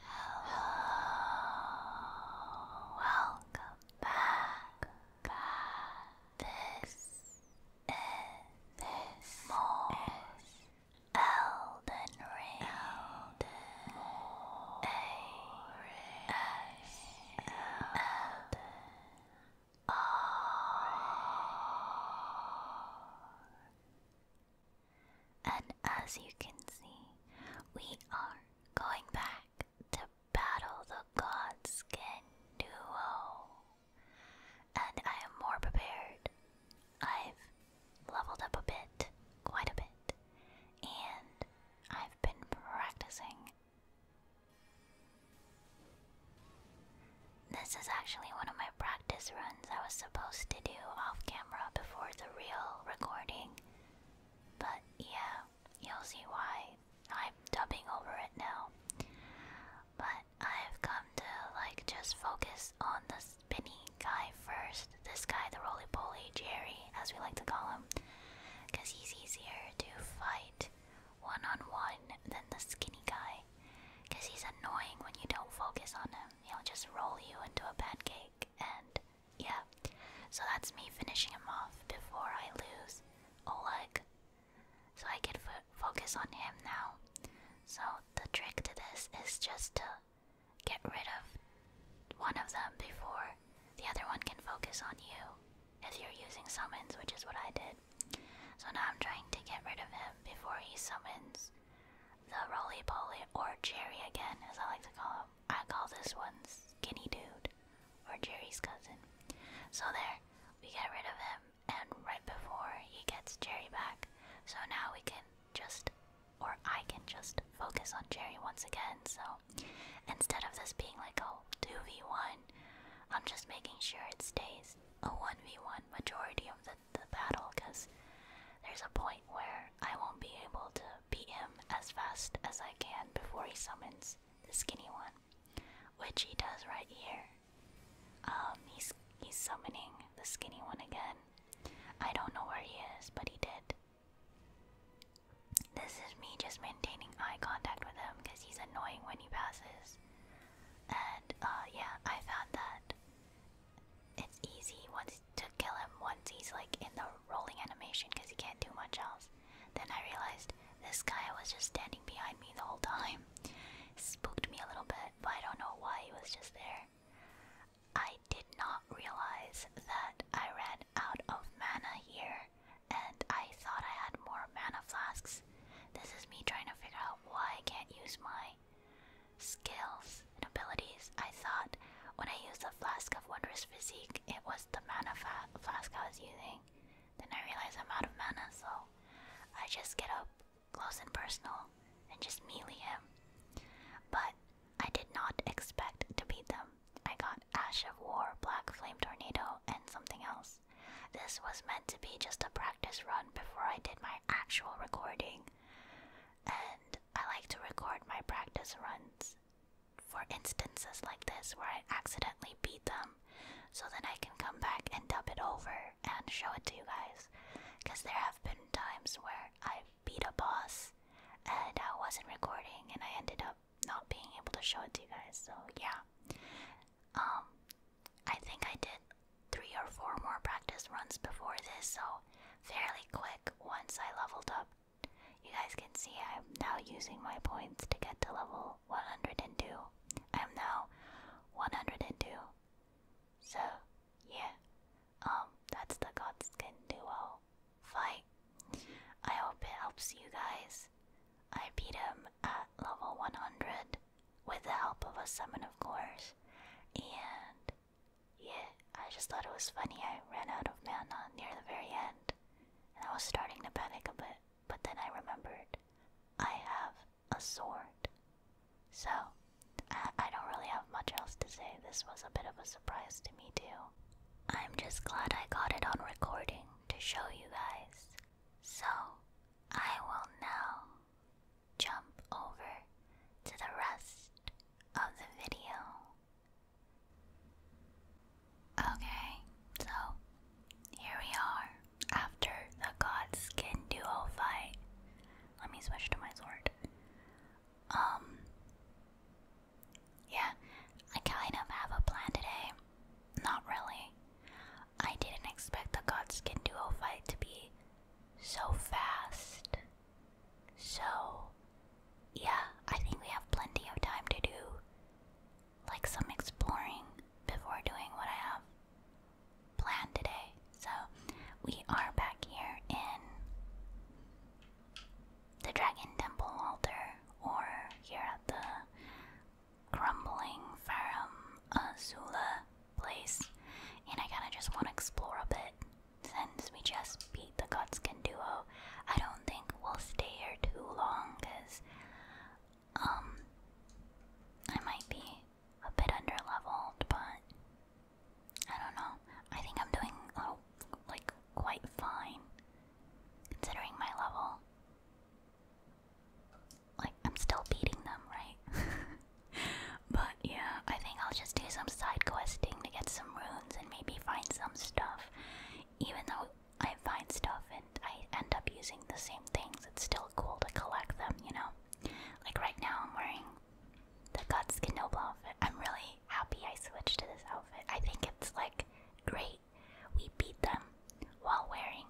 Hello, welcome back. back. This is this more Elden Ring. And as you can see, we are going back to battle the Godskin duo. And I am more prepared. I've leveled up a bit, quite a bit, and I've been practicing. This is actually one of my practice runs I was supposed to do off camera before the real recording. But yeah, you'll see why. I'm dubbing over it now. But I've come to like just focus on the spinny guy first. This guy, the roly poly Jerry, as we like to call him because he's easier to fight one on one than the skinny guy. Because he's annoying when you don't focus on him. He'll just roll you into a pancake, and yeah. So that's me finishing him off before I lose Oleg. So I can focus on him now. So the trick to this is just to get rid of one of them before the other one can focus on you if you're using summons, which is what I did. So now I'm trying to get rid of him before he summons the roly poly or Jerry again, as I like to call him. I call this one Skinny Dude or Jerry's cousin. So there, we get rid of him, and right before he gets Jerry back, so now we can just, or I can just focus on Jerry once again. So instead of this being like a 2v1, I'm just making sure it stays a 1v1 majority of the, the battle because there's a point where I won't be able to beat him as fast as I can before he summons the skinny one, which he does right here. Um, he's he's summoning the skinny one again. I don't know where he is, but he did. This is me just maintaining eye contact with him because he's annoying when he passes. And uh, yeah, I found that it's easy once to kill him once he's like in the rolling animation because he can't do much else. Then I realized this guy was just standing behind me the whole time. Spooked me a little bit, but I don't know why he was just there. I did not realize that I ran out of mana here, and I thought I had more mana flasks. This is me trying to figure out why I can't use my skills and abilities. I thought when I used the flask of wondrous physique, it was the mana flask I was using. Then I realized I'm out of mana, so I just get up close and personal and just melee him. But I did not expect to beat them. I got Ash of War, Black Flame Tornado, and something else. This was meant to be just a practice run before I did my actual recording. And I like to record my practice runs for instances like this where I accidentally beat them so then I can come back and dub it over and show it to you guys. Because there have been times where I beat a boss and I wasn't recording and I ended up not being able to show it to you guys. So yeah, um, I think I did three or four more practice runs before this, so fairly quick once I leveled up. You guys can see I'm now using my points to get to level 102. I'm now 102. So yeah, um, that's the Godskin duo fight. I hope it helps you guys. I beat him at level 100 with the help of a summon, of course. And yeah, I just thought it was funny. I ran out of mana near the very end, and I was starting to panic a bit. But then I remembered I have a sword. So I, I don't really have much else to say. This was a bit of a surprise to me, too. I'm just glad I got it on recording to show you guys. So, I will now jump over to the rest of the video. Okay, so here we are after the Godskin duo fight. Let me switch to my sword. Um, yeah, I kind of have a plan today. Not really. I didn't expect the Godskin duo fight to be so fast. So, yeah, I think we have plenty of time to do like some exploring before doing what I have planned today. So, we are back here in the Dragon Temple altar or here at the crumbling Farum Azula place, and I kinda just wanna explore a bit. Since we just beat the Godskin duo, I don't think we'll stay here too long, cause um I might be a bit under leveled, but I don't know. I think I'm doing oh, like quite fine considering my level. Like, I'm still beating them, right? but yeah, I think I'll just do some side questing to get some runes and maybe find some stuff. Even though I find stuff and I end up using the same things, it's still cool to collect them, you know? Like, right now I'm wearing the Guts Kenoble outfit. I'm really happy I switched to this outfit. I think it's like great we beat them while wearing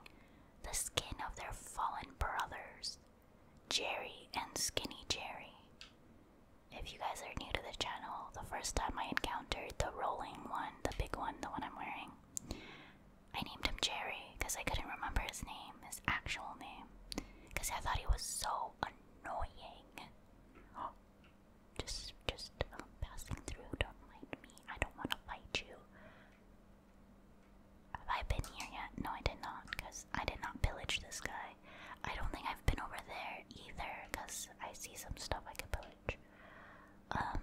the skin of their fallen brothers, Jerry and Skinny Jerry. If you guys are new to the channel, the first time I encountered the rolling one, the big one, the one I'm wearing, I named him Jerry because I couldn't remember his name, his actual name, because I thought he was so annoying. Just, just um, passing through. Don't mind me. I don't want to fight you. Have I been here yet? No, I did not, because I did not pillage this guy. I don't think I've been over there either, because I see some stuff I could pillage. Um,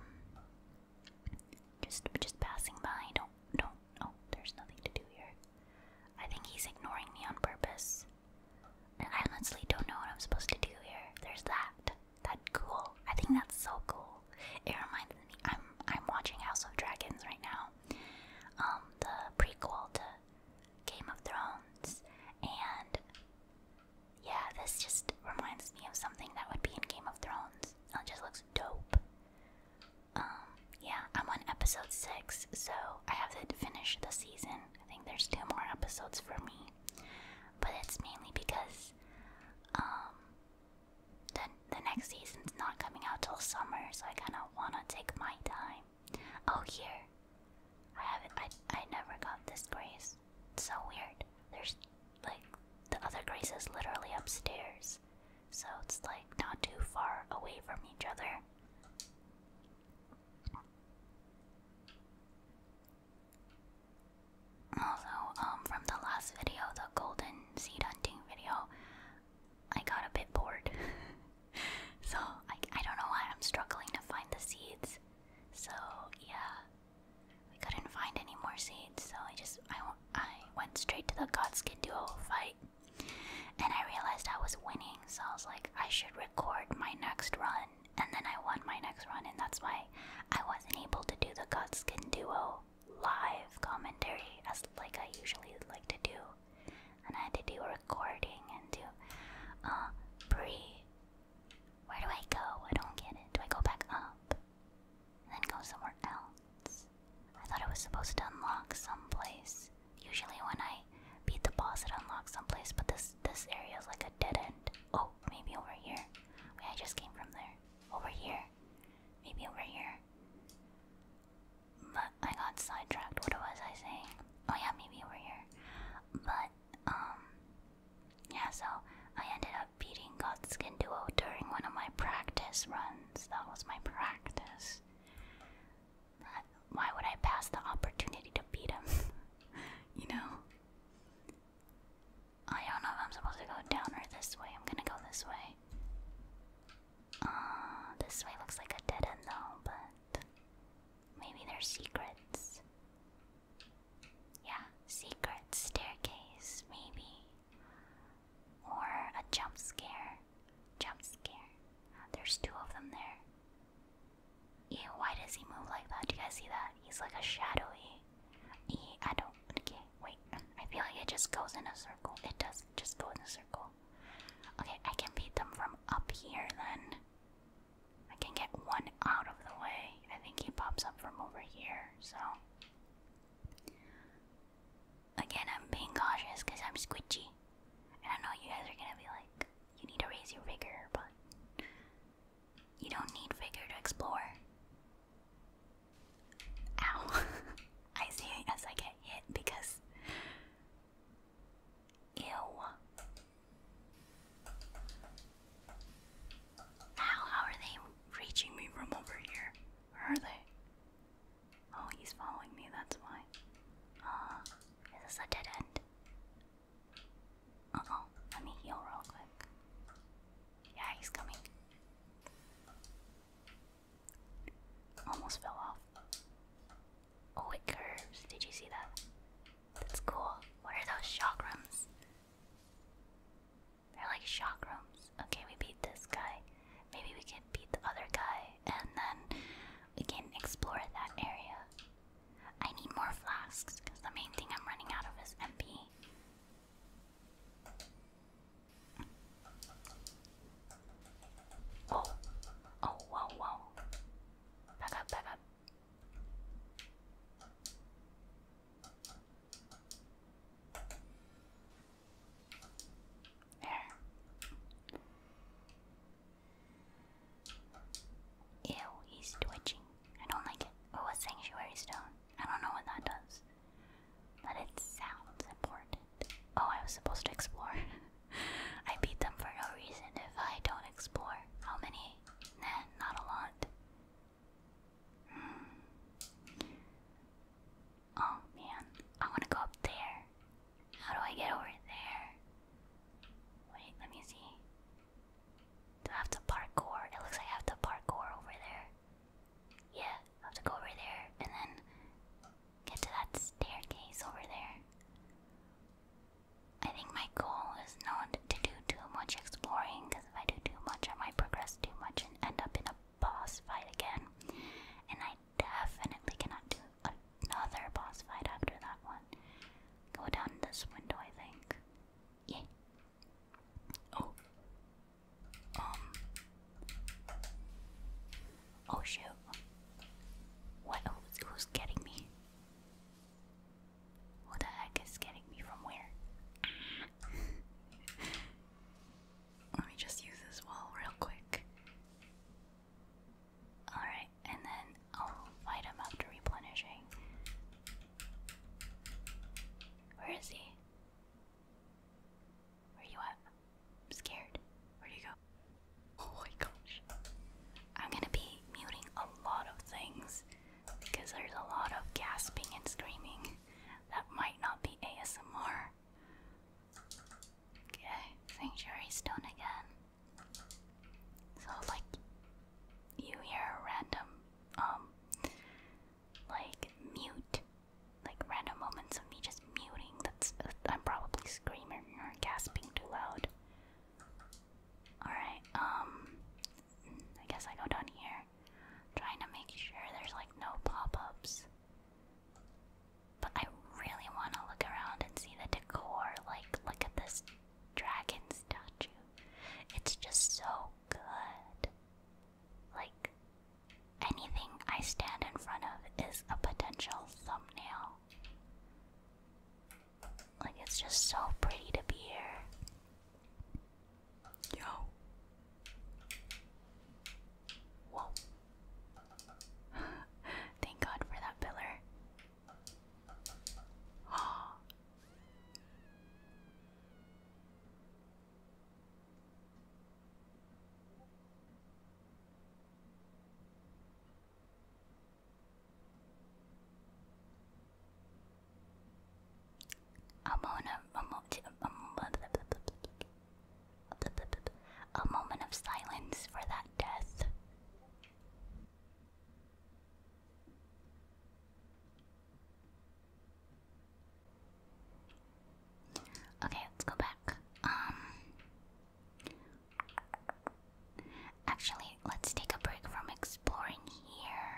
just, just passing by. Don't, don't. Oh, there's nothing to do here. I think he's ignoring me on purpose. And I honestly don't know what I'm supposed to do here. There's that that cool. I think that's so cool. It reminds me. I'm I'm watching House of Dragons right now, um, the prequel to Game of Thrones, and yeah, this just reminds me of something that would be in Game of Thrones. It just looks dope. Um, yeah, I'm on episode six, so I have to finish the season. I think there's two more episodes for me, but it's mainly because um, the, the next season's not coming out till summer, so I kind of want to take my time. Oh, here. I haven't. I, I never got this grace. It's so weird. There's like the other grace is literally upstairs, so it's like not too far away from each other. Also, um, from the last video, the golden seed hunting video, I got a bit bored. so, I, I don't know why I'm struggling to find the seeds. So, yeah. We couldn't find any more seeds, so I just, I, I went straight to the Godskin duo fight. And I realized I was winning, so I was like, I should record my next run and then I won my next run, and that's why I wasn't able to do the Godskin Duo live commentary as like I usually like to do. And I had to do a recording and do uh pre where do I go? I don't get it. Do I go back up? And then go somewhere else? I thought it was supposed to unlock someplace. Usually when I beat the boss it unlocks someplace, but this this area is like a dead end. Oh, maybe over here. Wait, I just came from there. Over here. Maybe over here. But I got sidetracked. What was I saying? Oh yeah, maybe over here. But um yeah, so I ended up beating Godskin Duo during one of my practice runs. That was my practice. why would I pass the opportunity to beat him? you know? Oh, I don't know if I'm supposed to go down or this way. I'm gonna go this way. Uh, this way looks like a dead end though, but maybe there's secrets. Yeah, secret staircase, maybe. Or a jump scare. Jump scare. There's two of them there. Yeah, why does he move like that? Do you guys see that? He's like a shadowy I don't. Okay, wait. I feel like it just goes in a circle. It does just go in a circle. Okay, I can beat them from up here then. I can get one out of the way. I think he pops up from over here, so. Again, I'm being cautious because I'm squidgy. And I know you guys are gonna be like, you need to raise your vigor, but you don't need figure to explore. Ow. I see as I get hit because. Ew. How are they reaching me from over here? Where are they? Oh, he's following me. That's why. Uh, is this a dead end? Uh oh. Let me heal real quick. Yeah, he's coming. Almost fell off. Oh, it curves. Did you see that? That's cool. What are those chakrams? They're like chakrams. Okay, we beat this guy. Maybe we can beat the other guy and then we can explore that area. I need more flasks because the main thing I'm running out of is MP. Oh, oh, wow, wow. Back up, back up. There. Ew, he's twitching. I don't like it. Oh, a sanctuary stone. I don't know what that does. But it sounds important. Oh, I was supposed to explore. I beat them for no reason if I don't explore. How many? Nah, not a lot. Hmm. Oh man, I want to go up there. How do I get over there? Wait, let me see. I have to parkour? It looks like I have to parkour over there. Yeah, I have to go over there and then get to that staircase over there. I think my goal is not to do too much exploring because if I do too much, I might progress too much and end up in a boss fight again. And I definitely cannot do another boss fight after that one. Go down this window, I think. Yeah, Oh. Um. Oh shoot. What? Who's, getting me? Who the heck is getting me from where? Let me just use this wall real quick. Alright, and then I'll fight him after replenishing. Where is he? Where you at? I'm scared. Where do you go? Oh my gosh. I'm gonna be muting a lot of things because there's a lot of gasping and screaming that might not be ASMR. Okay, Sanctuary Stone again. So like you hear random um like mute, like random moments of me just muting. That's I'm probably screaming or gasping too loud. All right, um, I guess I go down here, trying to make sure there's like no pop-ups. But I really want to look around and see the decor. Like, look at this dragon statue. It's just so good. Like, anything I stand in front of is a potential thumbnail. Like, it's just so pretty to be here. Yo. Whoa. Thank God for that pillar. A moment of, a, mo a moment of silence for that death. Okay, let's go back. Um Actually, let's take a break from exploring here.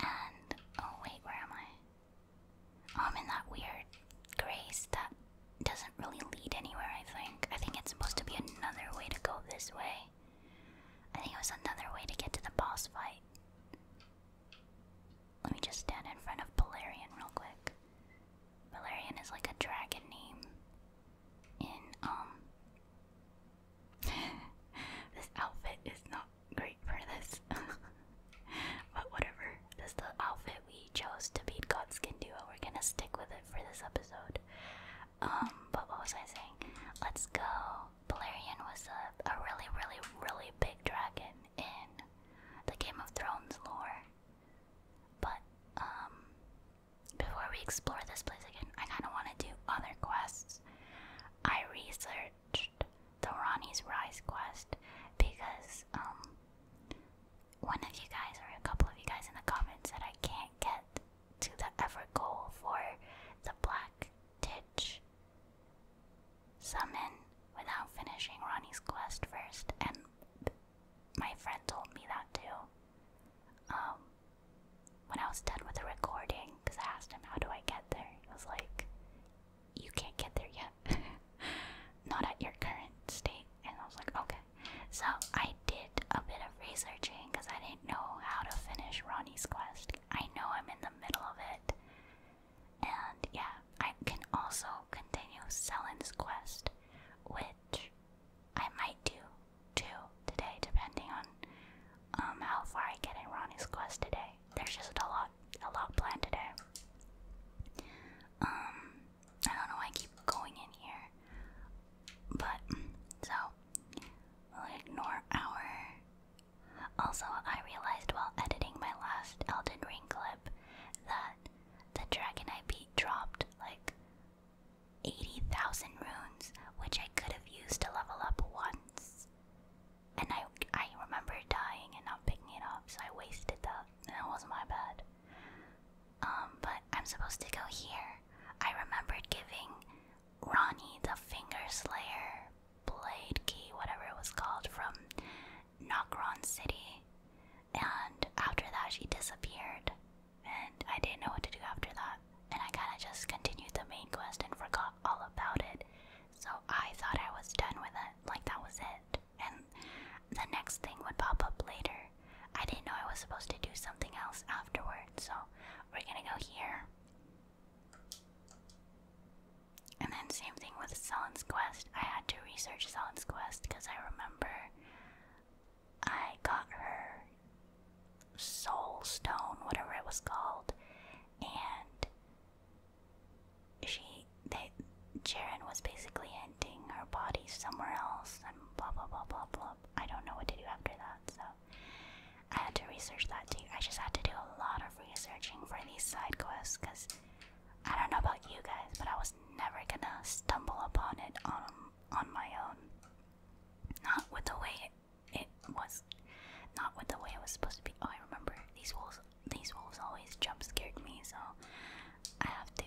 And oh wait, where am I? I'm in that weird grace that doesn't really lead anywhere, I think. I think it's supposed to be another way to go this way. I think it was another way to get to the boss fight. Let me just stand in front of Balerion real quick. Balerion is like a dragon name in um this outfit is not great for this. but whatever. This is the outfit we chose to beat Godskin Duo. We're gonna stick with it for this episode. Um, but what was I saying? Let's go. Balerion was a, a really, really, really big dragon in the Game of Thrones lore. But um, before we explore this place again, I kinda wanna do other quests. I researched the Ronnie's Rise quest because um, one of you guys or a couple of you guys in the comments said I can't get to the goal for the Black Ditch. Summon without finishing Ronnie's quest first, and my friend told me that too. Um, when I was done with the recording, because I asked him, How do I get there? He was like, You can't get there yet. Not at your current state. And I was like, Okay. So I did a bit of researching because I didn't know how to finish Ronnie's quest. I know I'm in the middle of it, and yeah, I can also continue Selin's quest, which I might do too today, depending on um, how far I get in Ronnie's quest today. There's just a lot, a lot planned today. Um, I don't know why I keep going in here, but so we'll ignore our also, I realized while editing my last Elden Ring clip that the dragon I beat dropped like 80,000 runes, which I could have used to level up once. And I, I remember dying and not picking it up, so I wasted that. That was my bad. Um, but I'm supposed to go here. I remembered giving Ronnie the Finger Slayer Blade Key, whatever it was called, from Nokron City. And after that, she disappeared. And I didn't know what to do after that. And I kind of just continued the main quest and forgot all about it. So I thought I was done with it. Like that was it. And the next thing would pop up later. I didn't know I was supposed to do something else afterward, So we're gonna go here. And then same thing with Selen's Quest. I had to research Selen's Quest because I remember I got her soul stone, whatever it was called, and she they Jaren was basically ending her body somewhere else and blah blah blah blah blah. I don't know what to do after that, so I had to research that too. I just had to do a lot of researching for these side quests because I don't know about you guys, but I was never gonna stumble upon it on on my own. Not with the way it, it was, not with the way it was supposed to be. Oh, I remember these wolves. These wolves always jump scared me, so I have to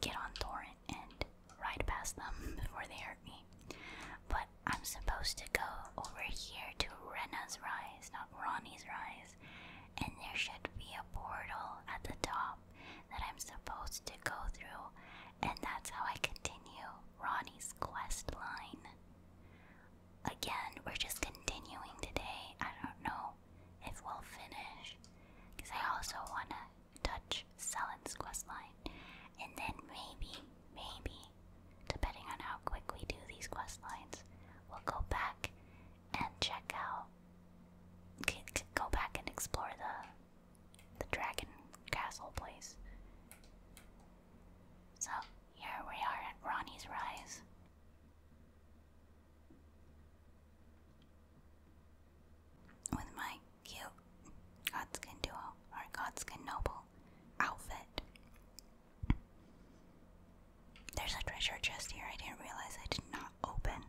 get on Thorin and ride past them before they hurt me. But I'm supposed to go over here to Rena's Rise, not Ronnie's Rise, and there should be a portal at the top that I'm supposed to go through, and that's how I continue Ronnie's quest line. Again, we're just continuing today. I don't know if we'll finish, because I also want to touch Selen's quest line, and then maybe, maybe, depending on how quick we do these quest lines, we'll go back and check out go back and explore the the dragon castle place. So here we are at Ronnie's Rise. With my cute Godskin duo or Godskin Noble outfit. There's a treasure chest here I didn't realize I did not open.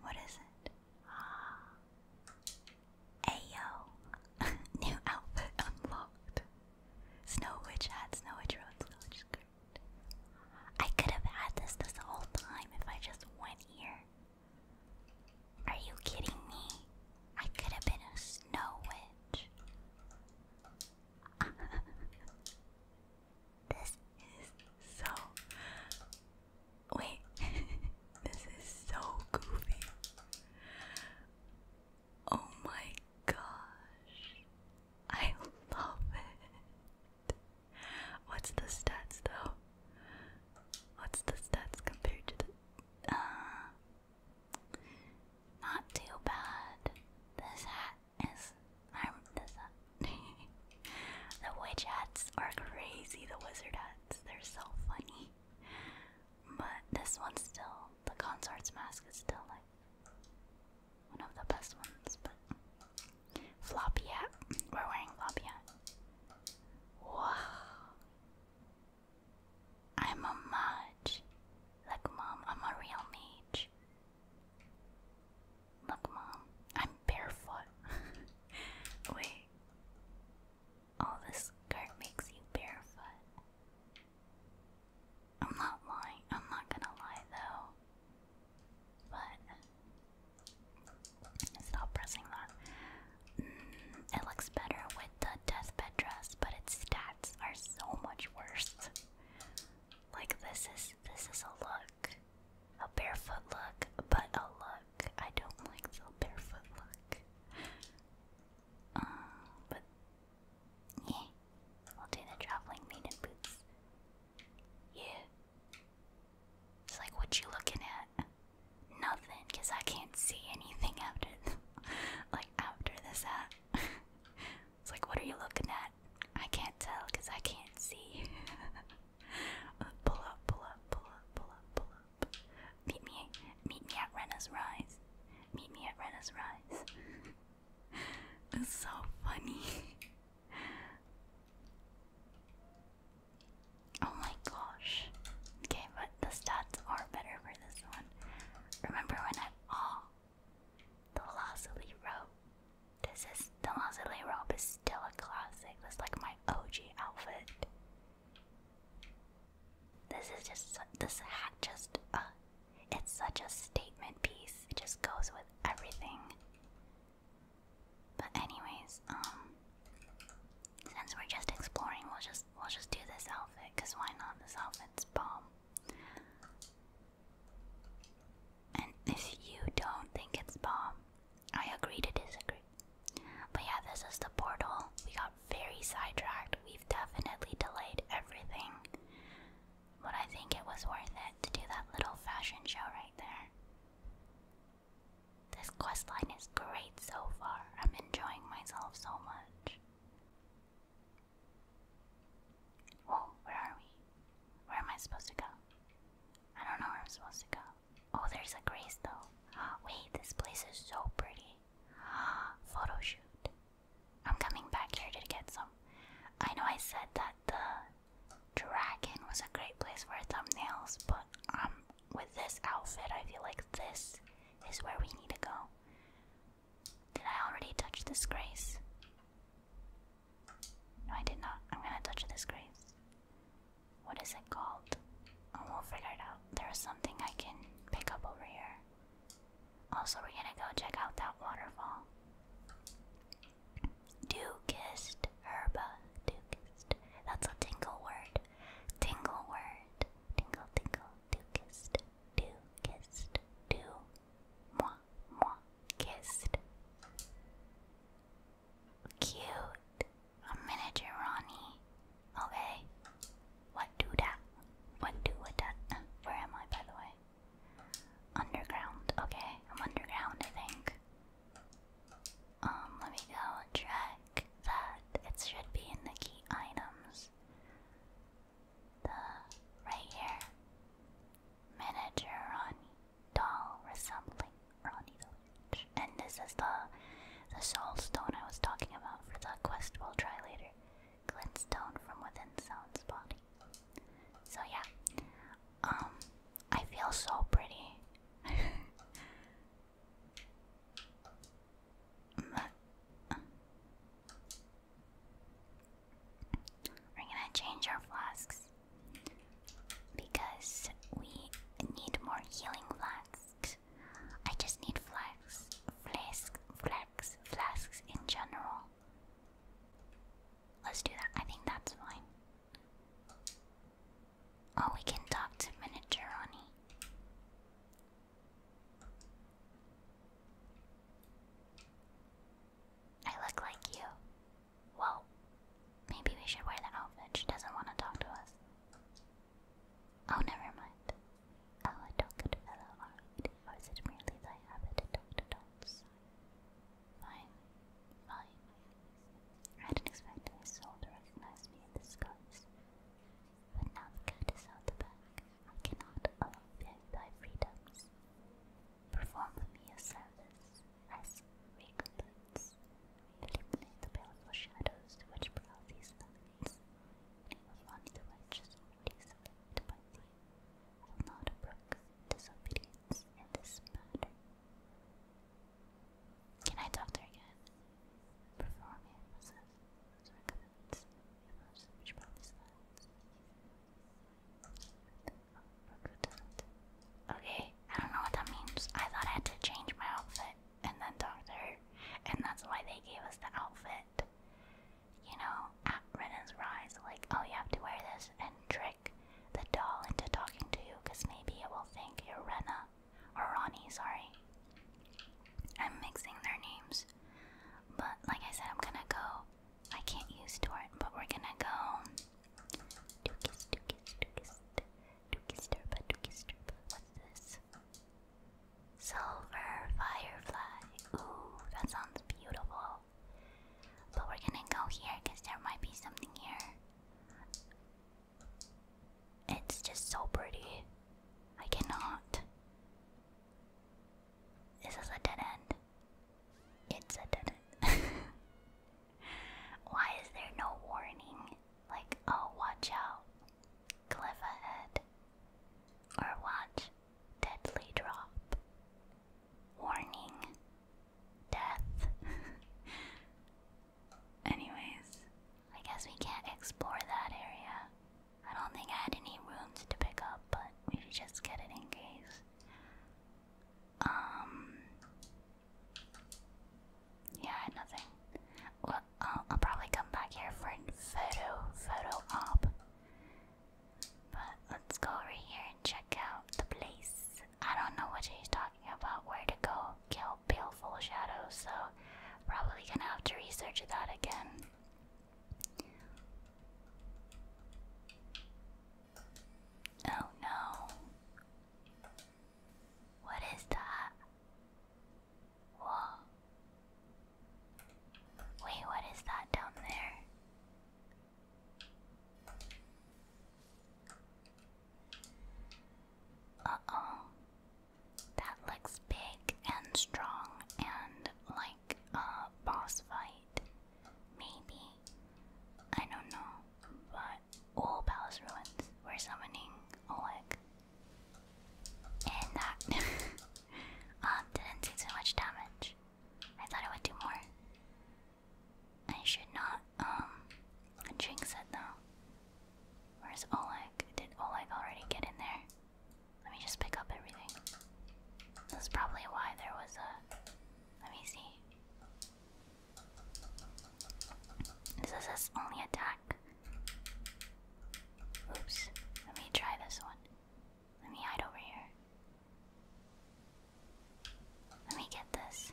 What is it? Ayo! New outfit unlocked. Snow Witch hat, Snow Witch road, Snow Witch skirt. I could have had this this whole time if I just went here. Are you kidding me? I could have been a Snow Witch. this is so. Wait, this is so goofy. Oh my gosh. I love it. What's the stats though? What's the stats compared to the. Uh, not too bad. This hat is. I this the witch hats are crazy. The wizard hats. They're so funny. But this one's still. The consort's mask is still like one of the best ones. But floppy hat. We're wearing floppy hat. Wow. I'm a mage. like Mom, I'm a real mage. Look, Mom, I'm barefoot. Wait. All this skirt makes you barefoot. I'm not lying. I'm not gonna lie, though. But. Stop pressing that. Mm, it looks better with the deathbed dress, but it's stacked are so much worse. Like this is this is a look. A barefoot look, but a look. I don't like the barefoot look. Um, but yeah, we'll the traveling maiden boots. Yeah. It's like what you looking at? Nothing, cause I can't see anything after, like after this hat. It's like, what are you looking at? I can't tell because I can't see. pull up, pull up, pull up, pull up, pull up. Meet me, meet me at Rena's Rise. Meet me at Rena's Rise. it's so funny. oh my gosh. Okay, but the stats are better for this one. Remember when I. Oh, the Lazuli robe. This is the Lazuli robe is still a classic. That's like my OG outfit. This is just this hat just uh it's such a statement piece. It just goes with everything. But anyways, um since we're just exploring, we'll just we'll just do this outfit cuz why not? This outfit's bomb. And if you don't think it's bomb, I agree to disagree. But yeah, this is the portal. We got very sidetracked. We've definitely delayed everything. But I think it was worth it to do that little fashion show right there. This quest line is great so far. I'm enjoying myself so much. Whoa, oh, where are we? Where am I supposed to go? I don't know where I'm supposed to go. Oh, there's a grace though. Wait, this place is so pretty. Photo shoot. I'm coming back here to get some. I know I said that the dragon was a great place for thumbnails, but um, with this outfit, I feel like this is where we need to go. Did I already touch this grace? No, I did not. I'm gonna touch this grace. What is it called? Oh, we'll figure it out. There is something I can pick up over here. Also, we're gonna go check out that waterfall. Dukist herba. Dukist. That's a tingle word. Tingle word. Tingle, tingle. Dukist. Dukist. Do Mwah, mwah, kissed. Cute. A miniature Ronnie. Okay. What do that? What do what that? where am I, by the way? Underground. Okay, I'm underground, I think. Um, let me go check that. It should be in the key items the right here manager Ronnie doll resembling Ronnie And this is the the soul stone I was talking about for the quest we'll try later. Glint stone from within sound's body. So yeah. Um I feel so pretty. Mm, uh, we're gonna change our flasks because we need more healing flasks. I just need flasks, flasks, flasks, flasks in general. Let's do that. I think that's fine. Oh, we can talk to Miniature I look like you. Well, maybe we should wear that outfit. She doesn't want to talk to us. Oh, never mind. Oh, I don't get fellow are waiting it merely thy habit to talk to dogs? Fine, fine. I didn't expect my soul to recognize me in this guise. But now the cat out the back. I cannot allow thy freedoms. Perform me a service as recompense. Eliminate the baleful shadows which prowl these valleys. And I the righteous already selected by thee. I not brook disobedience in this matter. Can I talk there again? Perform me a service as recompense. Which prowl these lands. Okay, I don't know what that means. I thought I had to change my outfit and then doctor, and that's why they gave us the outfit. You know, at Renna's Rise, like, oh, you have to wear this and trick the doll into talking to you, because maybe it will think you're Renna. Or Ronnie, sorry. I'm mixing their names. But like I said, I'm gonna go I can't use Torrent, but we're gonna go. Dukis, Dukis, Dukis, Dukis, Derpa, Dukis, Derpa. What's this? Silver Firefly. Ooh, that sounds beautiful. But we're gonna go here because there might be something here. It's just so pretty. I cannot. This is a dead end. It's a dead end. Why is there no warning? Like, oh, watch out, cliff ahead. Or watch, deadly drop. Warning, death. Anyways, I guess we can't explore that area. I don't think I had any rooms to pick up, but we should just get it in case. Um. Yeah, I nothing. Well, I'll, probably come back here for a photo, photo op. But let's go over here and check out the place. I don't know what he's talking about, where to go kill Baleful shadows? so probably gonna have to research that again. Oh no. What is that? Whoa. Wait, what is that down there? Uh oh. That looks big and strong and like a boss fight. Maybe. I don't know. But all palace ruins. we summoning Oleg. And that um, didn't do too much damage. I thought it would do more. I should not um jinx it though. Where's Oleg? Did Oleg already get in there? Let me just pick up everything. That's probably why there was a let me see. This is his only attack. Oops. Let me try this one. Let me hide over here. Let me get this.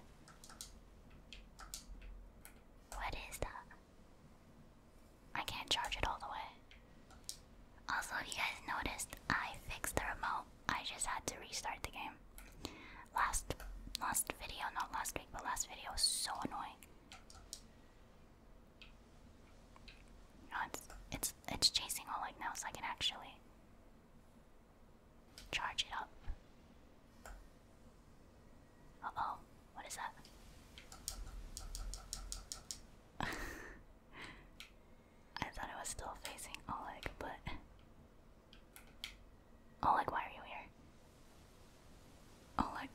What is that? I can't charge it all the way. Also, if you guys noticed, I fixed the remote I just had to restart the game. Last last video, not last week, but last video was so annoying. No, it's it's it's chasing all like now so I can actually charge it up. Uh oh, what is that? I thought I was still facing Oleg, but Oleg, why are you here? Oleg,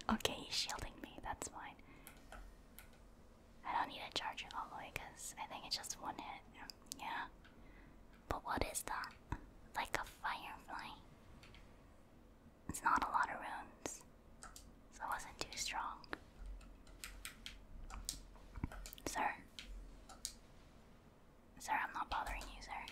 okay, he's shielding me. That's fine. I don't need to charge it all the way because I think it's just one hit. Yeah. But what is that? Like a firefly. It's not a lot of runes, so it wasn't too strong. Sir? Sir, I'm not bothering you, sir.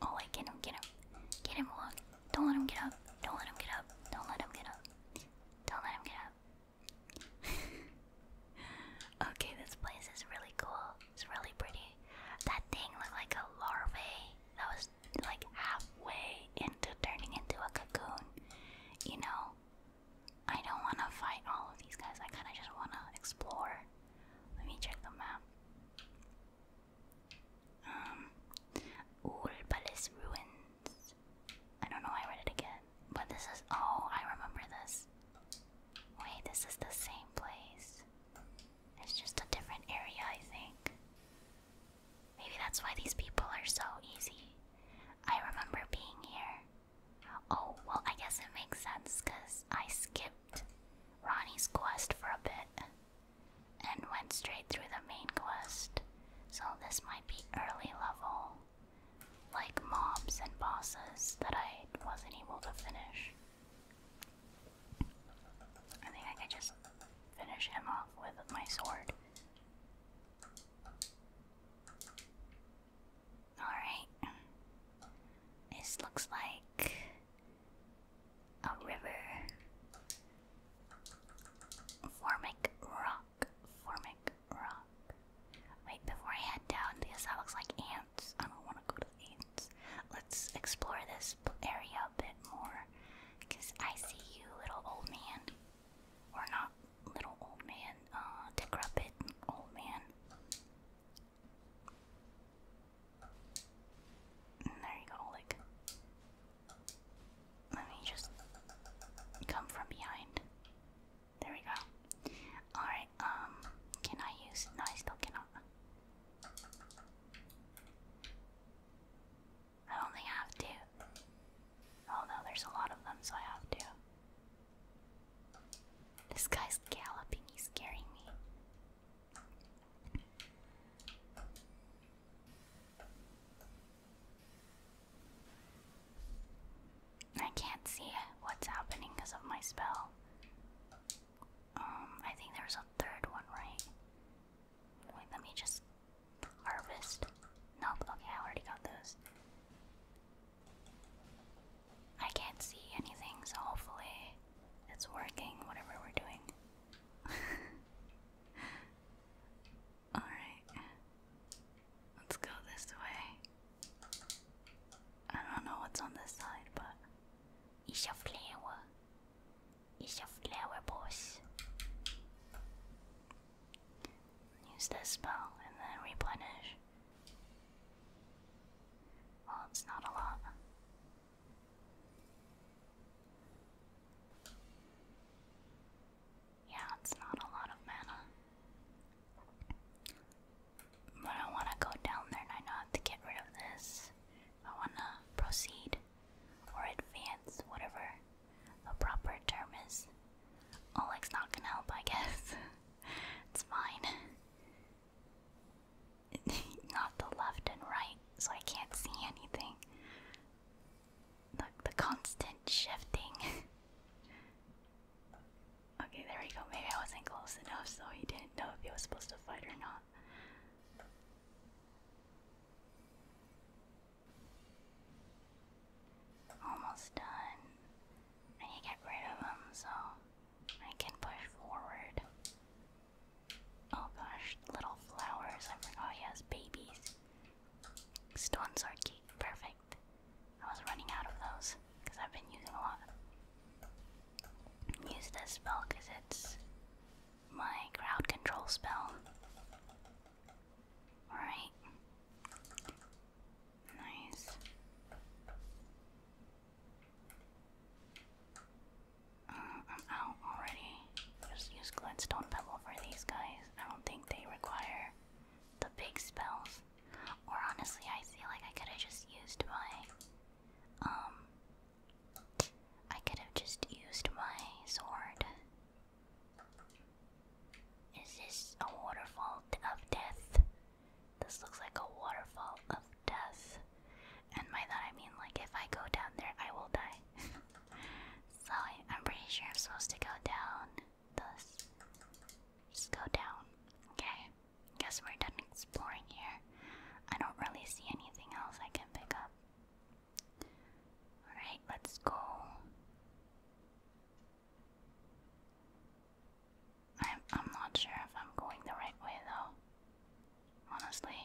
oh wait, get him, get him. Get him, Don't let him get up. Don't let him get up. Don't let him get up. Don't let him get up. okay, this place is really cool. It's really pretty. That thing looked like a larva that was like halfway into turning into a cocoon. You know, I don't want to fight all of these guys. I kind of just want to explore. Let me check the map. Um, Urbalis ruins. I don't know. Why I read it again, but this is. Oh, I remember this. Wait, this is the same place. It's just a different area, I think. Maybe that's why these people are so easy. I remember being here. Oh, well, I guess it makes sense because I skipped Ronnie's quest for a bit and went straight through the main quest. So this might be early level, like mobs and bosses that I wasn't able to finish. I think I could just finish him off with my sword. Alright. This looks like a river. Formic rock. Formic rock. Wait, before I head down, because that looks like ants. I don't want to go to Let's explore this area a bit more. I see you, little old man. Or not little old man, uh, decrepit old man. Mm, there you go, like. Let me just come from behind. There we go. Alright, I um can I use no I still cannot I only have two. Oh no, there's a lot of them, so I have to. This guy's galloping, he's scaring me. I can't see what's happening because of my spell. Um, I think there was a third one, right? Wait, let me just harvest. Nope, okay, I already got those. I can't see anything, so hopefully it's working, whatever we're doing. Alright. Let's go this way. I don't know what's on this side, but it's a flower. It's a flower boss. Use the spell and then replenish. Well, it's not a lot. Yeah, it's not a lot of mana. But I want to go down there and I know I to get rid of this. I want to proceed or advance, whatever the proper term is. Oleg's not gonna help, I guess. it's fine. not the left and right, so I can't see anything. The, the constant shifting. okay, there we go. Maybe I wasn't close enough, so he didn't know if he was supposed to fight or not. Almost done. I need to get rid of him so I can push forward. Oh gosh, little flowers. I forgot he has babies. Stones are Perfect. I was running out of those because I've been using a lot use this spell because it's my crowd control spell. Alright. Nice. Uh, I'm out already. Just use Glenstone Pebble for these guys. I don't think they require the big spells. Or honestly, I feel like I could have just used my um I could have just used my sword. Is this a waterfall of death? This looks like a waterfall of death. And by that I mean, like, if I go down there, I will die. so I, am pretty sure I'm supposed to go down. just go down. Okay. Guess we're done exploring here. I don't really see anything else I can pick up. Alright, let's go. I'm, I'm not sure if I'm going the right way though. Honestly.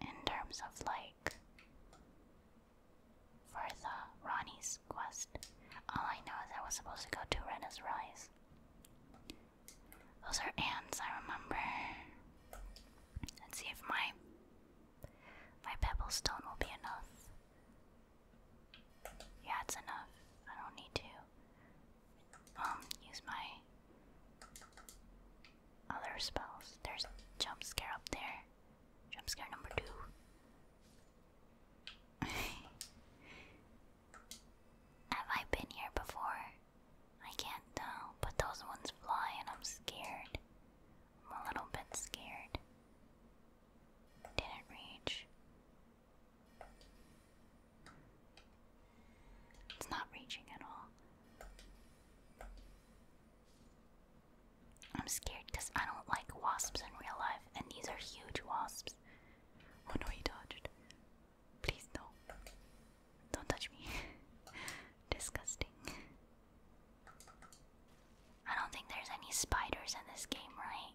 In terms of like. For the Ronnie's quest. All I know is I was supposed to go to Rena's Rise. Those are ants, I remember. Let's see if my my pebble stone will be enough. Yeah, it's enough. I don't need to um, use my other spells. There's jump scare up there. Jump scare number two. Have I been here before? I can't tell, but those ones fly and I'm scared. I'm a little bit scared. Didn't reach. It's not reaching at all. I'm scared because I don't like wasps in real life, and these are huge wasps. Oh no, he dodged. Please, no. Don't touch me. Disgusting. I don't think there's any spiders in this game, right?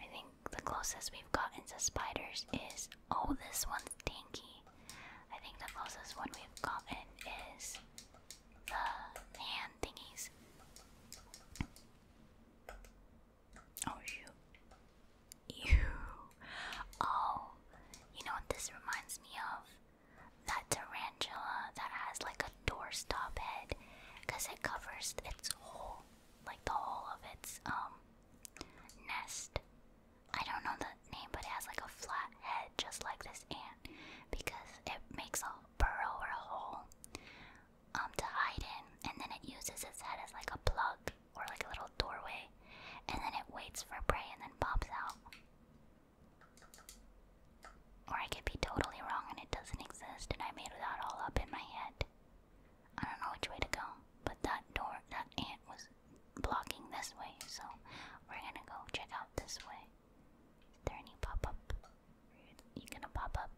I think the closest we've gotten to spiders is. Oh, this one's dinky. I think the closest one we've gotten is the hand thingies. Oh, you. You. Oh, you know what this reminds me of? That tarantula that has like a doorstop head because it covers its whole, like the whole of its, um, nest. I don't know the name, but it has like a flat head just like this ant because it makes a burrow or a hole um, to hide in, and then it uses its head as like a plug or like a little doorway, and then it waits for prey and then pops out. Or I could be totally wrong and it doesn't exist, and I made that all up in my head. I don't know which way to go, but that door, that ant was blocking this way, so we're gonna go check out this way. Is there any pop up? You gonna pop up?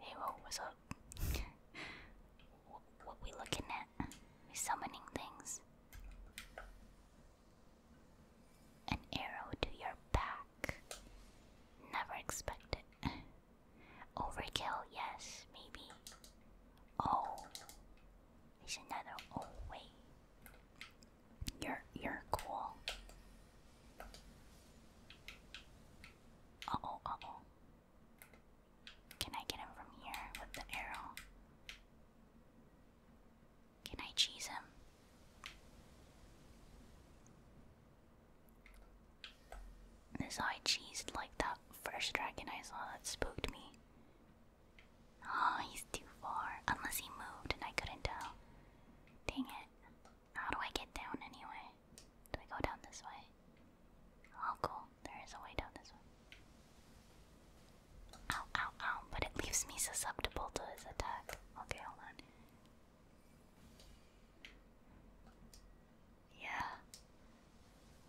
Hey, whoa, what's up? what, what we looking at? we summoning things. An arrow to your back. Never expected. Overkill, yes, maybe. Oh, it's another. Oh wait, you're you're cool. oh, oh. Can I get him from here with the arrow? Can I cheese him? This eye cheesed like that first dragon I saw that spooked me. oh, he's too far. Unless he moved and I couldn't tell. Dang it. How do I get down anyway? Do I go down this way? Oh, There is a way down this one. Ow, ow, ow. But it leaves me susceptible to his attack. Okay, hold on. Yeah.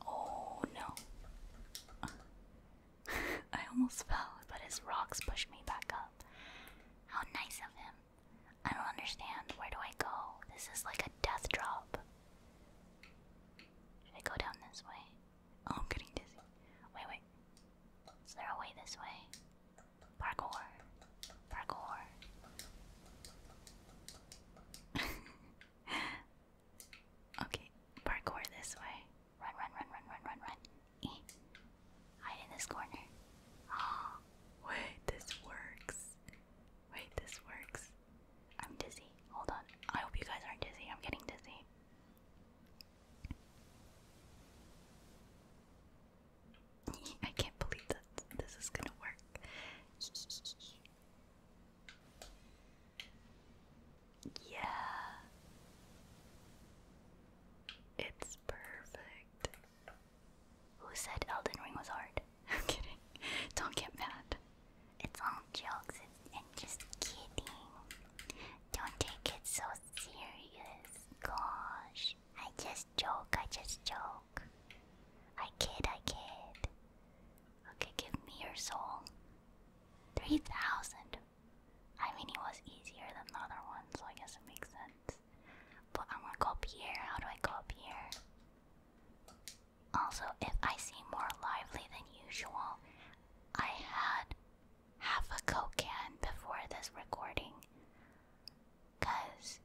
Oh, no. I almost fell, but his rocks pushed me back up. How nice of him. I don't understand. Where do I go? This is like a death drop. Should I go down this way? Oh, I'm getting dizzy. Wait, wait. Is there a way this way? Parkour. Parkour. okay, parkour this way. Run, run, run, run, run, run, run. Hide in this corner. wait, this works. Wait, this works. I'm dizzy. Hold on. I hope you guys aren't dizzy. I'm getting dizzy. I can't believe that this is gonna work. Yeah. It's perfect. Who said Elden Ring was hard? I'm kidding. Don't get mad. It's all jokes and, just kidding. Don't take it so serious. Gosh. I just joke, I just joke. I kid, I kid. Okay, give me your soul. 3,000. I mean, it was easier than the other one, so I guess it makes sense. But I am going to go up here. How do I go up here? Also, if I seem more lively than usual, I had half a Coke can before this recording. Cause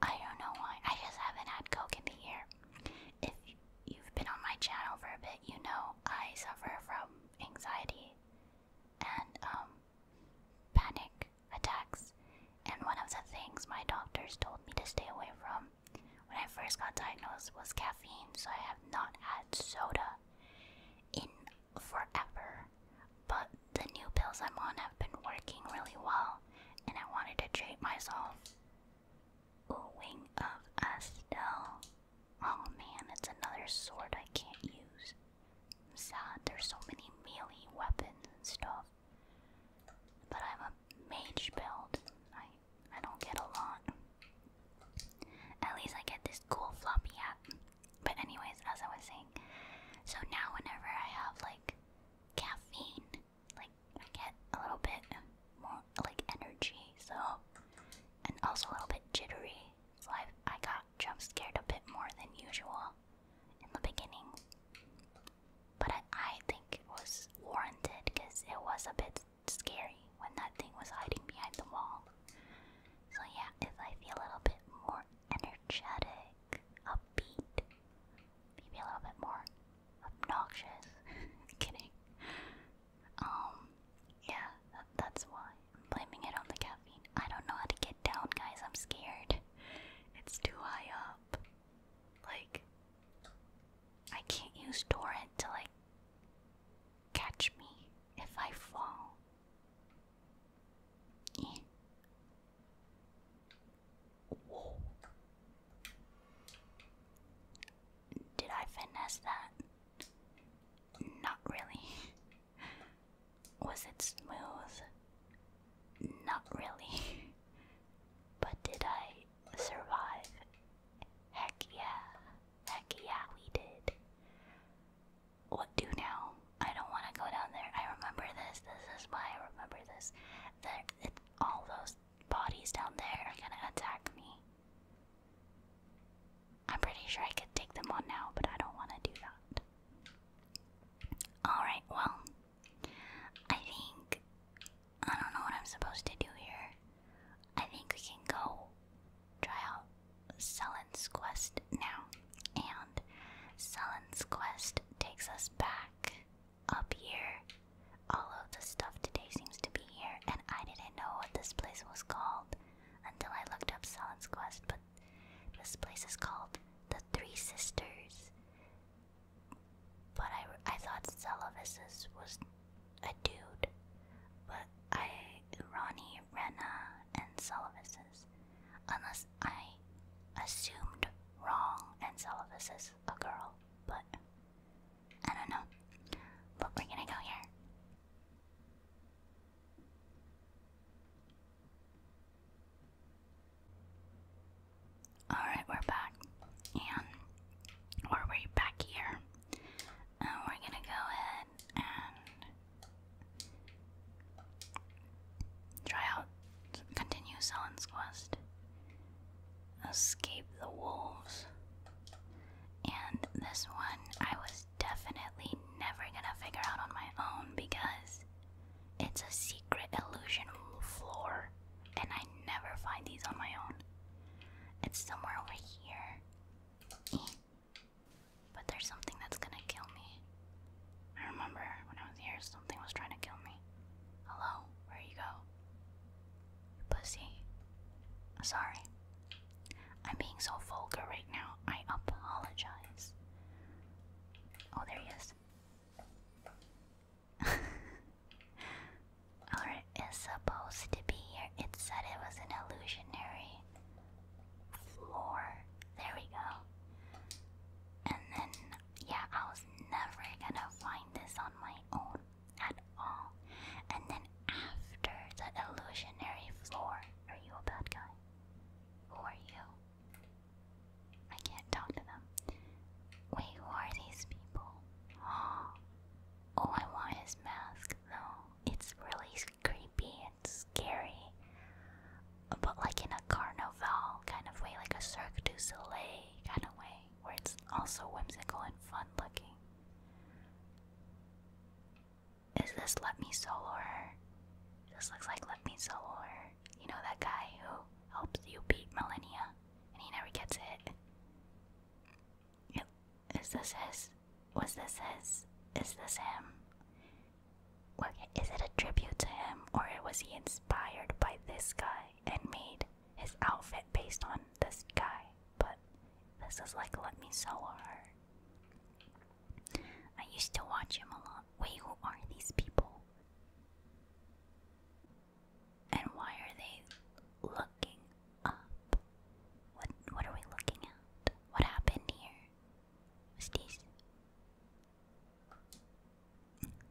I don't know why. I just haven't had Coke in the year. If you've been on my channel for a bit, you know I suffer from anxiety and um, panic attacks. And one of the things my doctors told me to stay away from when I first got diagnosed was caffeine, so I have not had soda in forever. But the new pills I'm on have been working really well, and I wanted to treat myself. Ooh, wing of Estelle. Oh man, it's another sword I can't use. sad, there's so many melee weapons and stuff. But I'm a mage build. I I don't get a lot. At least I get this cool floppy hat. But anyways, as I was saying, so now whenever I have like caffeine, like I get a little bit more like energy, so and also a little bit jittery. So I I got jump scared a bit more than usual in the beginning. But I, think it was warranted because it was a bit scary when that thing was hiding behind the wall. So, yeah, if I feel a little bit more energetic, upbeat, maybe a little bit more obnoxious, kidding. Um, yeah, that's why I'm blaming it on the caffeine. I don't know how to get down, guys. I'm scared. It's too high up. Like, I can't use torrent to, like, catch me if I fall. Did I finesse that? Not really. Was it smooth? Not really. But did I survive? Heck yeah. Heck yeah, we did. What do now? I don't want to go down there. I remember this. This is why I remember this. That all those bodies down there are gonna attack me. I'm pretty sure I could take them on now, but I don't want to do that. Alright, well, I think I don't know what I'm supposed to do here. I think we can go try out Selen's quest now. And Selen's quest takes us back up here. All of the stuff today seems to be here, and I didn't know what this place was called until I looked up Selen's quest, but this place is called the Three Sisters. But I, I thought Celovisus was a dude. But I, Ronnie, Rena, and Celovisus. Unless I assumed wrong and Celovisus a girl. But I don't know. But we're gonna go here. Alright, we're back. And we're way back here. And we're gonna go ahead and try out continue Selen's quest. Escape the wolves. And this one I was definitely never gonna figure out on my own because it's a secret illusion floor and I never find these on my own. It's somewhere over here. But there's something that's gonna kill me. I remember when I was here, something was trying to kill me. Hello, where you go? You pussy. Sorry. I'm being so vulgar right now. I apologize. Oh, there he is. or supposed to be here. It said it was an illusionary floor. There we go. And then, yeah, I was never gonna find this on my own at all. And then after the illusionary floor, are you a bad guy? Who are you? I can't talk to them. Wait, who are these people? All I want is mask though. It's really creepy and scary. But like in a carnival kind of way, like a Cirque du Soleil kind of way, where it's also whimsical and fun looking. Is this Let Me Solo This looks like Let Me Solo You know that guy who helps you beat Millennia and he never gets hit. Is this his? Was this his? Is this him? Well, it a tribute to him, or was he inspired by this guy and made his outfit based on this guy? But this is like Let Me so hard. I used to watch him a lot. Wait, who are these people? And why are they looking up? What what are we looking at? What happened here? this?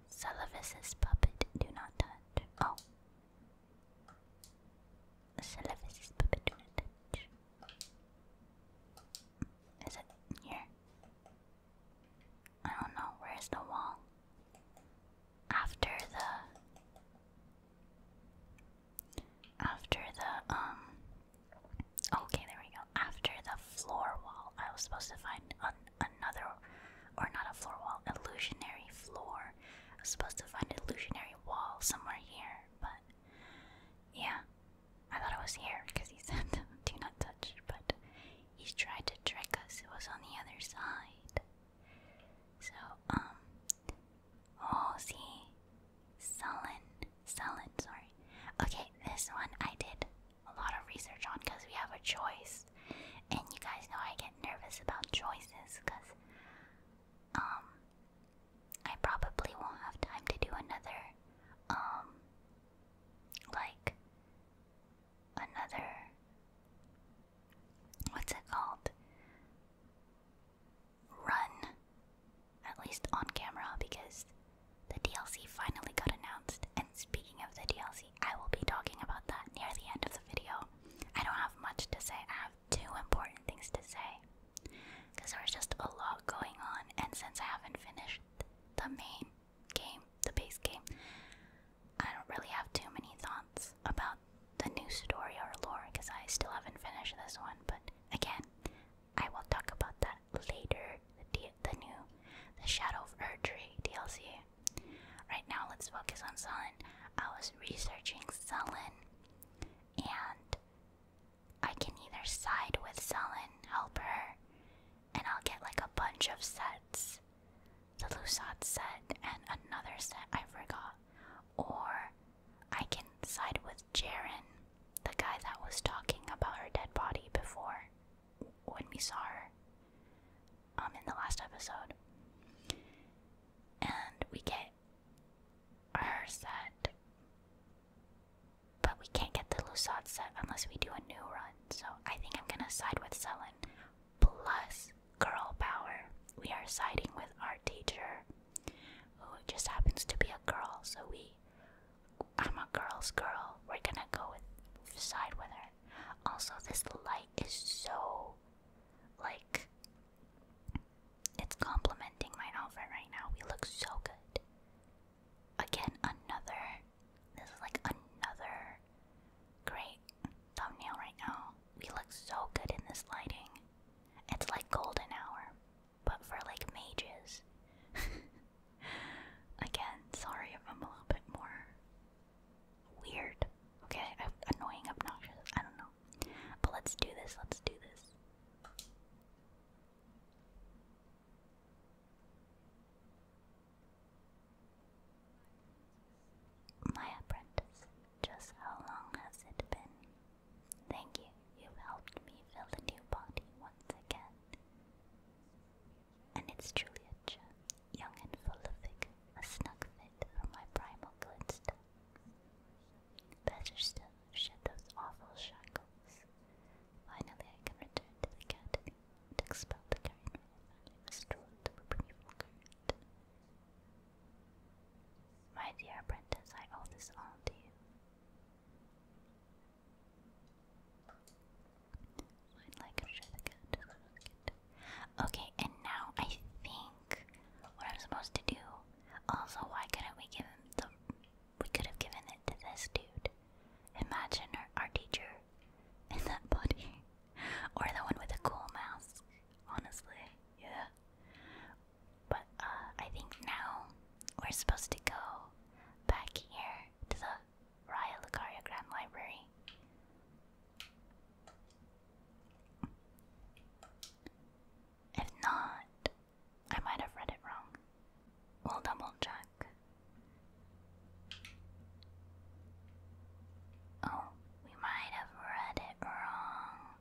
Salavis's puppet, do not touch. Oh. Salavis's puppet, do not touch. Is it here? I don't know. Where's the wall? after the after the um okay there we go after the floor wall I was supposed to find an, another or not a floor wall illusionary floor I was supposed to find illusionary wall somewhere here but yeah I thought it was here because he said do not touch but he tried to trick us it was on the other side so, um, oh, see, sullen, sullen, sorry. Okay, this one I did a lot of research on because we have a choice, and you guys know I get nervous about choices because, um, I probably won't have time to do another, um, like, another what's it called? Run. At least on camera, because the DLC finally got announced. And speaking of the DLC, I will be talking about that near the end of the video. I don't have much to say, I have two important things to say. Because there's just a lot going on, and since I haven't finished the main game, the base game, I don't really have too many thoughts about the new story or lore because I still haven't finished this one. But again, I will talk about that later. The, the new, the Shadow of Erdry DLC. Right now, let's focus on Sullen. I was researching Sullen, and I can either side with Sullen, help her, and I'll get like a bunch of sets the Lusat set and another set I forgot. Or I can side with Jaren, the guy that was talking about her dead body before when we saw her um, in the last episode. And we get her set. But we can't get the Lusat set unless we do a new run, so I think I'm gonna side with Selen plus girl power. We are siding with our teacher, who just happens to be a girl. So we, I'm a girl's girl. We're gonna go with side with her. Also, this light is so like it's complementing my outfit right now. We look so good. Again, another. This is like another great thumbnail right now we look so good in this lighting. It's like golden hour, but for like mages. Again, sorry if I'm a little bit more weird. Okay, annoying, obnoxious, I don't know. But let's do this, let's do this. My apprentice, just how long has it been? Thank you, you've helped me fill the new body once again. And it's truly a gem, young and full a snug fit for my primal good Better still, shed those awful shackles. Finally, I can return to the academy and expel the current from restore the primeval my dear apprentice, I owe this all to you. Okay, and now I think what I'm supposed to do. Also, why couldn't we give him the? We could have given it to this dude. Imagine our teacher in that body, or the one with the cool mask. Honestly, yeah. But uh, I think now we're supposed to go back here to the Raya Lucaria Grand Library. If not, I might have read it wrong. We'll double check. Oh, we might have read it wrong.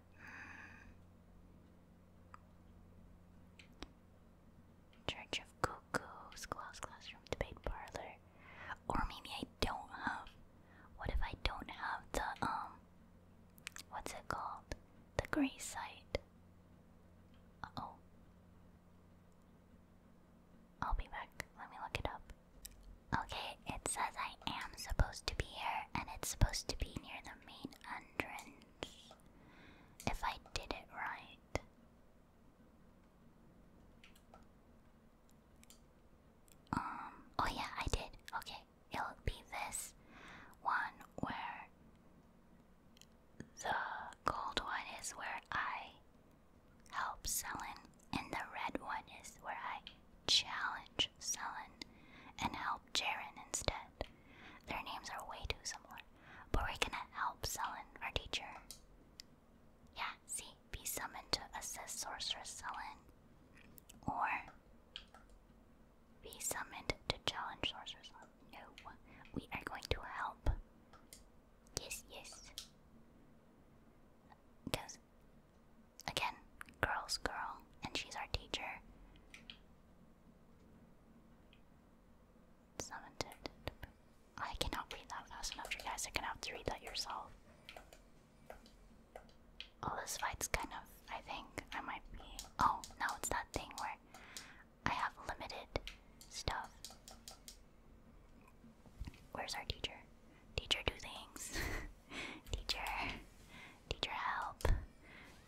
Church of Cuckoos, Gloss Classroom, Debate Parlor. Or maybe I don't have. What if I don't have the, um, what's it called? The gray side? oh. I'll be back. Let me look it up. Okay, it says I am supposed to be here, and it's supposed to be near the main entrance. If I did it right. Um, oh yeah, I did. Okay, it'll be this one where the gold one is where I help Selen, and the red one is where I challenge Selen, and help Jaren instead. Their names are way too similar, but we're gonna help Selen, our teacher. Yeah, see, be summoned to assist Sorceress Selen, or be summoned to challenge Sorceress No, we are going to help. Yes, yes. Because Again, girl's girl, and she's our teacher. It's intended. I cannot read that fast enough, you guys. Are gonna have to read that yourself. Oh, this fight's kind of. I think I might be. Oh, no, it's that thing where I have limited stuff. Where's our teacher? Teacher, do things. teacher, Need your help.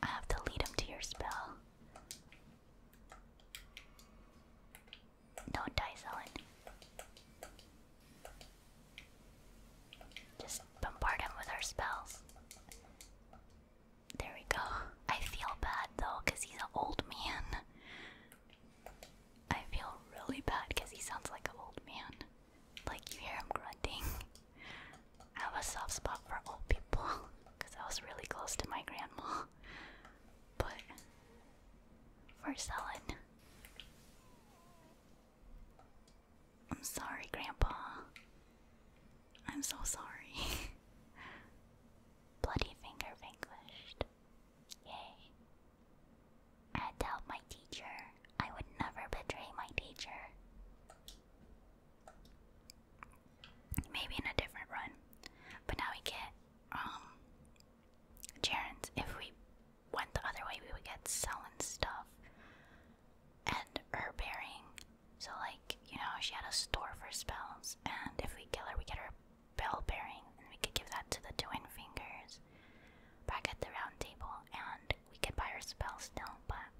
I have to lead him to your spell. Don't die, Zelen. Just bombard him with our spells. There we go. I feel bad though, because he's an old man. I feel really bad because he sounds like an old man. Like you hear him grunting. I have a soft spot for old people because I was really close to my grandma. But for Helen. I'm sorry, Grandpa. I'm so sorry. Bloody finger vanquished. Yay. I had my teacher. I would never betray my teacher. Maybe in a different run. But now we get um Charon's. If we went the other way we would get selling stuff and her bearing. So like, you know, she had a store for spells and if we kill her we get her bell bearing and we could give that to the twin fingers back at the round table and we can buy our spells still, but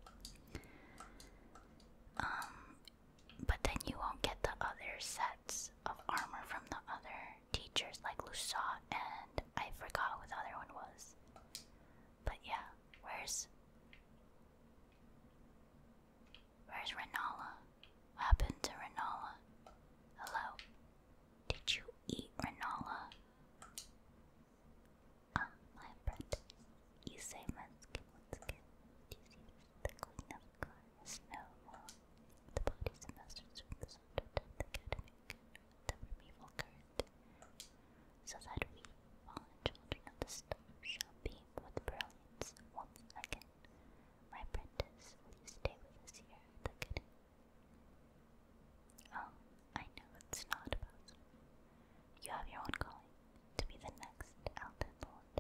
um, but then you won't get the other sets of armor from the other teachers like Lusa and I forgot what the other one was. But yeah, where's Where's Renala? What happened to Renala? Hello? Did you eat Renala? Ah, my friend, you say Munskin, Munskin. Do you see the queen of cards? No more. The bodies of from the subject of the academic the primeval current, so that we, fallen children of the storm, shall beam with brilliance once again. My apprentice, will you stay with us here the academy? Oh, I know it's not possible. You have your own calling to be the next Elden Lord.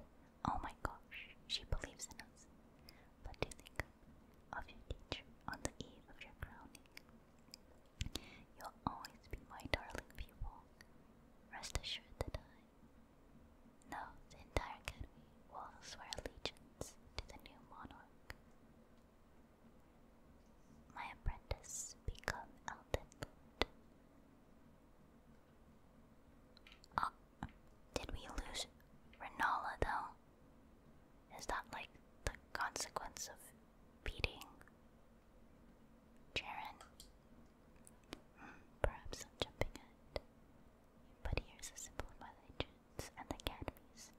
Oh my gosh, she believes in us. But do think of your teacher on the eve of your crowning. You'll always be my darling pupil. Rest assured that I no, the entire academy will swear allegiance to the new monarch. My apprentice become Elden Lord. Oh, did we lose Renala though? Is that like the consequence of beating Jaren? Hmm, perhaps I'm jumping ahead. But here's a symbol of the academies.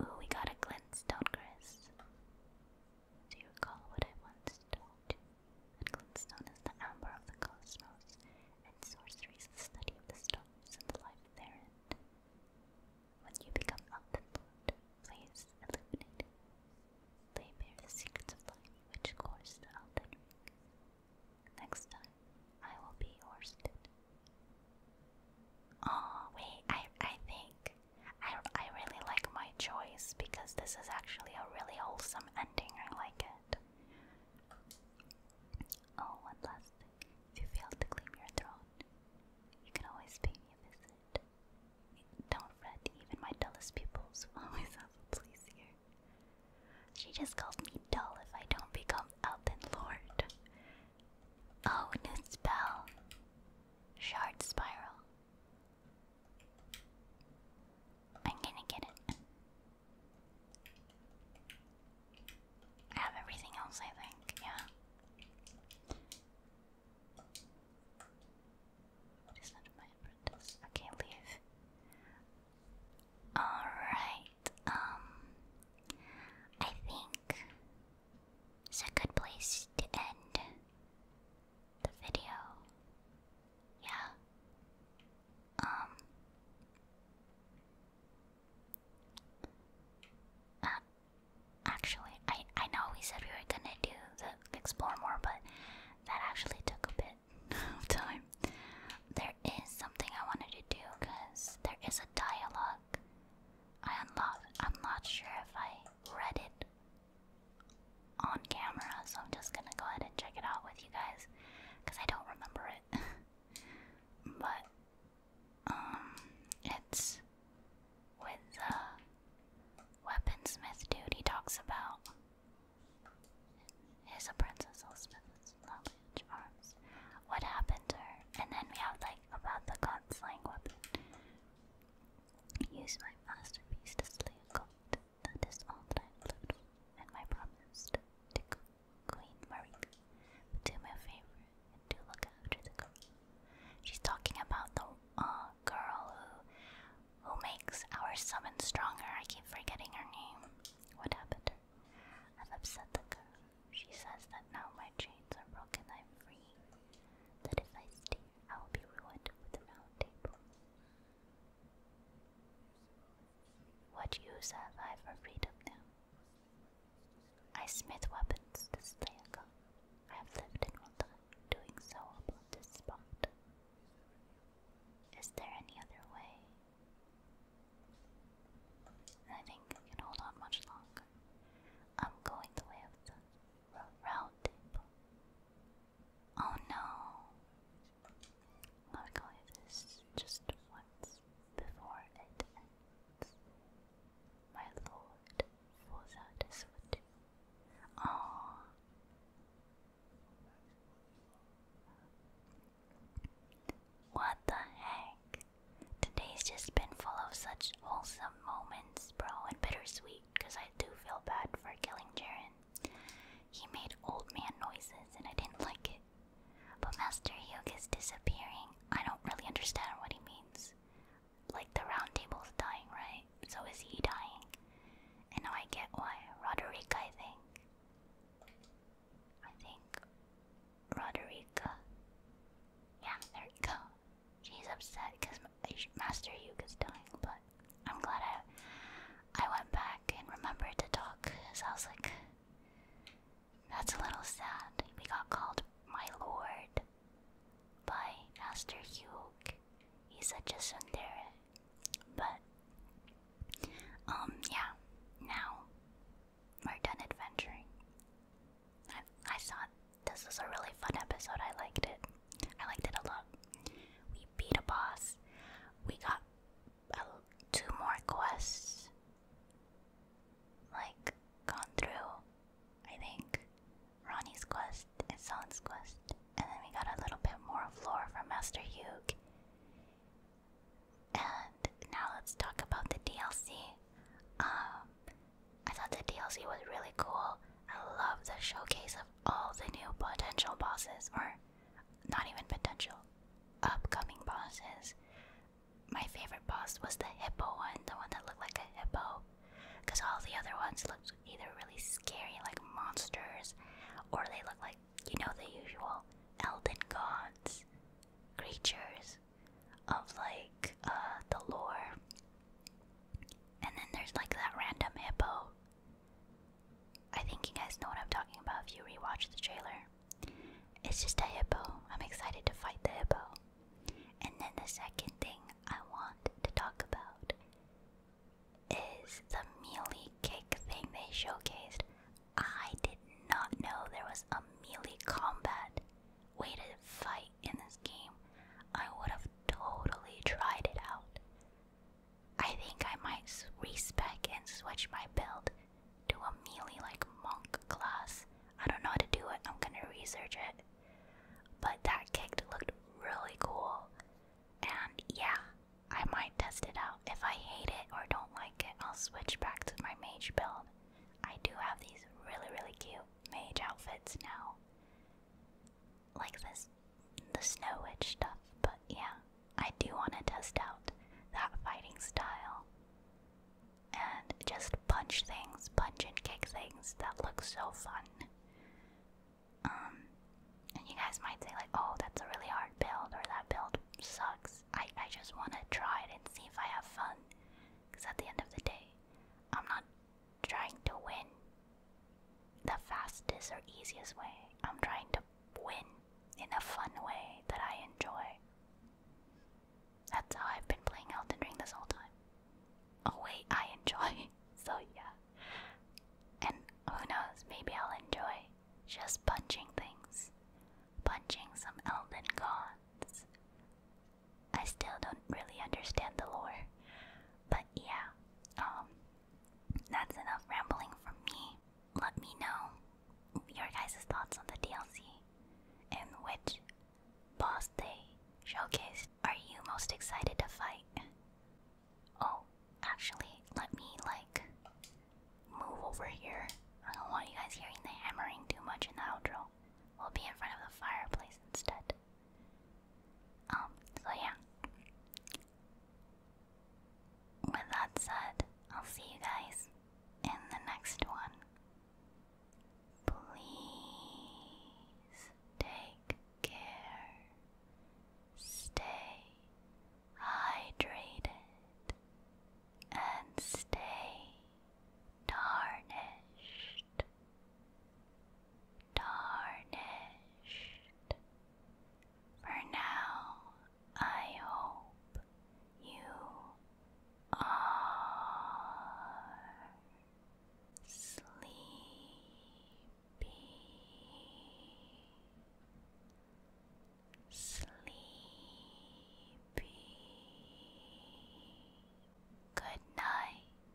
Ooh, we got a cleanse, do Chris? Do you recall what I once told you? That glintstone is the amber of the cosmos, and sorcery is the study of the stars and the life therein. When you become unconfirmed, please illuminate. They bear the secrets of life which course the Elden Next time, I will be orsted. Oh wait, I I think I I really like my choice because this is actually a really wholesome ending. I like it. Oh, one last thing. If you fail to claim your throne, you can always pay me a visit. Don't fret, even my dullest pupils always have a place here. She just calls me dull if I don't become Elden Lord. Oh, new spell. Shard spiral. I'm gonna get it. I have everything else, I think, yeah. What is that my apprentice? Okay, leave. Alright, um I think it's a good place to end the video. Yeah. Um. Uh, actually, I I know we said we were gonna do the explore more, but that actually took a bit of time. There is something I wanted to do because there is a dialogue I am not I'm not sure if I read it on camera, so I'm just gonna go ahead and check it out with you guys because I don't remember it. but um it's with the uh, weaponsmith dude he talks about his a princess Elspeth with knowledge arms. What happened to her? And then we have like about the god weapon. Use my masterpiece to slay a god. That is all that I have lived for, and my promise to Queen Marika. But do me favor and do look after the girl. She's talking about the uh, girl who, who makes our summon stronger. I keep forgetting her name. What happened I've upset the girl. She says that now my chains are broken, I'm free. That if I stay, I will be ruined with the round table. What use have I for freedom now? I smith weapons to slay a god. I have lived in one time, doing so upon this spot. Is there any other way? I think I can hold on much longer. I'm going the way Oh no! I'll go this just once before it ends. My lord falls out his foot. Oh. What the heck? Today's just been full of such wholesome moments, bro, and bittersweet, because I do feel bad for killing Jaren. He made old man noises and I didn't like it. But Master Hyuk disappearing. I don't really understand what he means. Like the round table's dying, right? So is he dying? And now I get why. Roderick, I think. I think Roderick. Yeah, there you go she's upset because Master Yuke is dying, but I'm glad I, I went back and remembered to talk, because I was like, that's a little sad. We got called my lord by Master Yuke. He said just a there. But, um, yeah, now we're done adventuring. I, I saw this was a really fun episode. I liked it. I liked it a lot. We beat a boss. We got two more quests. Like, gone through, I think, Ronnie's quest and Son's quest. And then we got a little bit more of lore from Master Hugh. And now let's talk about the DLC. Um, I thought the DLC was really cool. I love the showcase of all the new potential bosses, or not even potential, upcoming bosses. My favorite boss was the hippo one, the one that looked like a hippo, because all the other ones looked either really scary, like monsters, or they looked like, you know, the usual Elden gods, creatures of like uh, the lore. And then there's like that random hippo. I think you guys know what I'm talking about if you rewatch the trailer. It's just a hippo. I'm excited to fight the hippo. And then the second thing I want to talk about is the mealy kick thing they showcased. I did not know there was a melee combat way to fight in this game, I would have totally tried it out. I think I might respec and switch my build to a melee like monk class. I don't know how to do it, I'm gonna research it. But that kick looked really cool. And yeah, I might test it out. If I hate it or don't like it, I'll switch back to my mage build. I do have these really, really cute mage outfits now. Like this, the Snow Witch stuff, but yeah, I do want to test out that fighting style. And just punch things, punch and kick things, that looks so fun. Um, and you guys might say like, oh, that's a really hard build, or that build sucks. I, I just want to try it and see if I have fun. Because at the end of the day, I'm not trying to win the fastest or easiest way. I'm trying to win in a fun way that I enjoy. That's how I've been playing Elden Ring this whole time. Oh wait, I enjoy. So, yeah. And who knows, maybe I'll enjoy just punching things. Punching some Elden gods. I still don't really understand the lore. But yeah, um, that's enough rambling from me. Let me know your guys' thoughts on the DLC and which boss they showcased. Are you most excited to fight? Oh, actually, let me like move over here. I don't want you guys hearing the hammering too much in the outro. We'll be in front of the fireplace instead. Um, so yeah. With that said, I'll see you guys in the next one. Please take care. Stay hydrated and stay tarnished tarnished, For now, I hope you are sleepy, sleepy. Good night.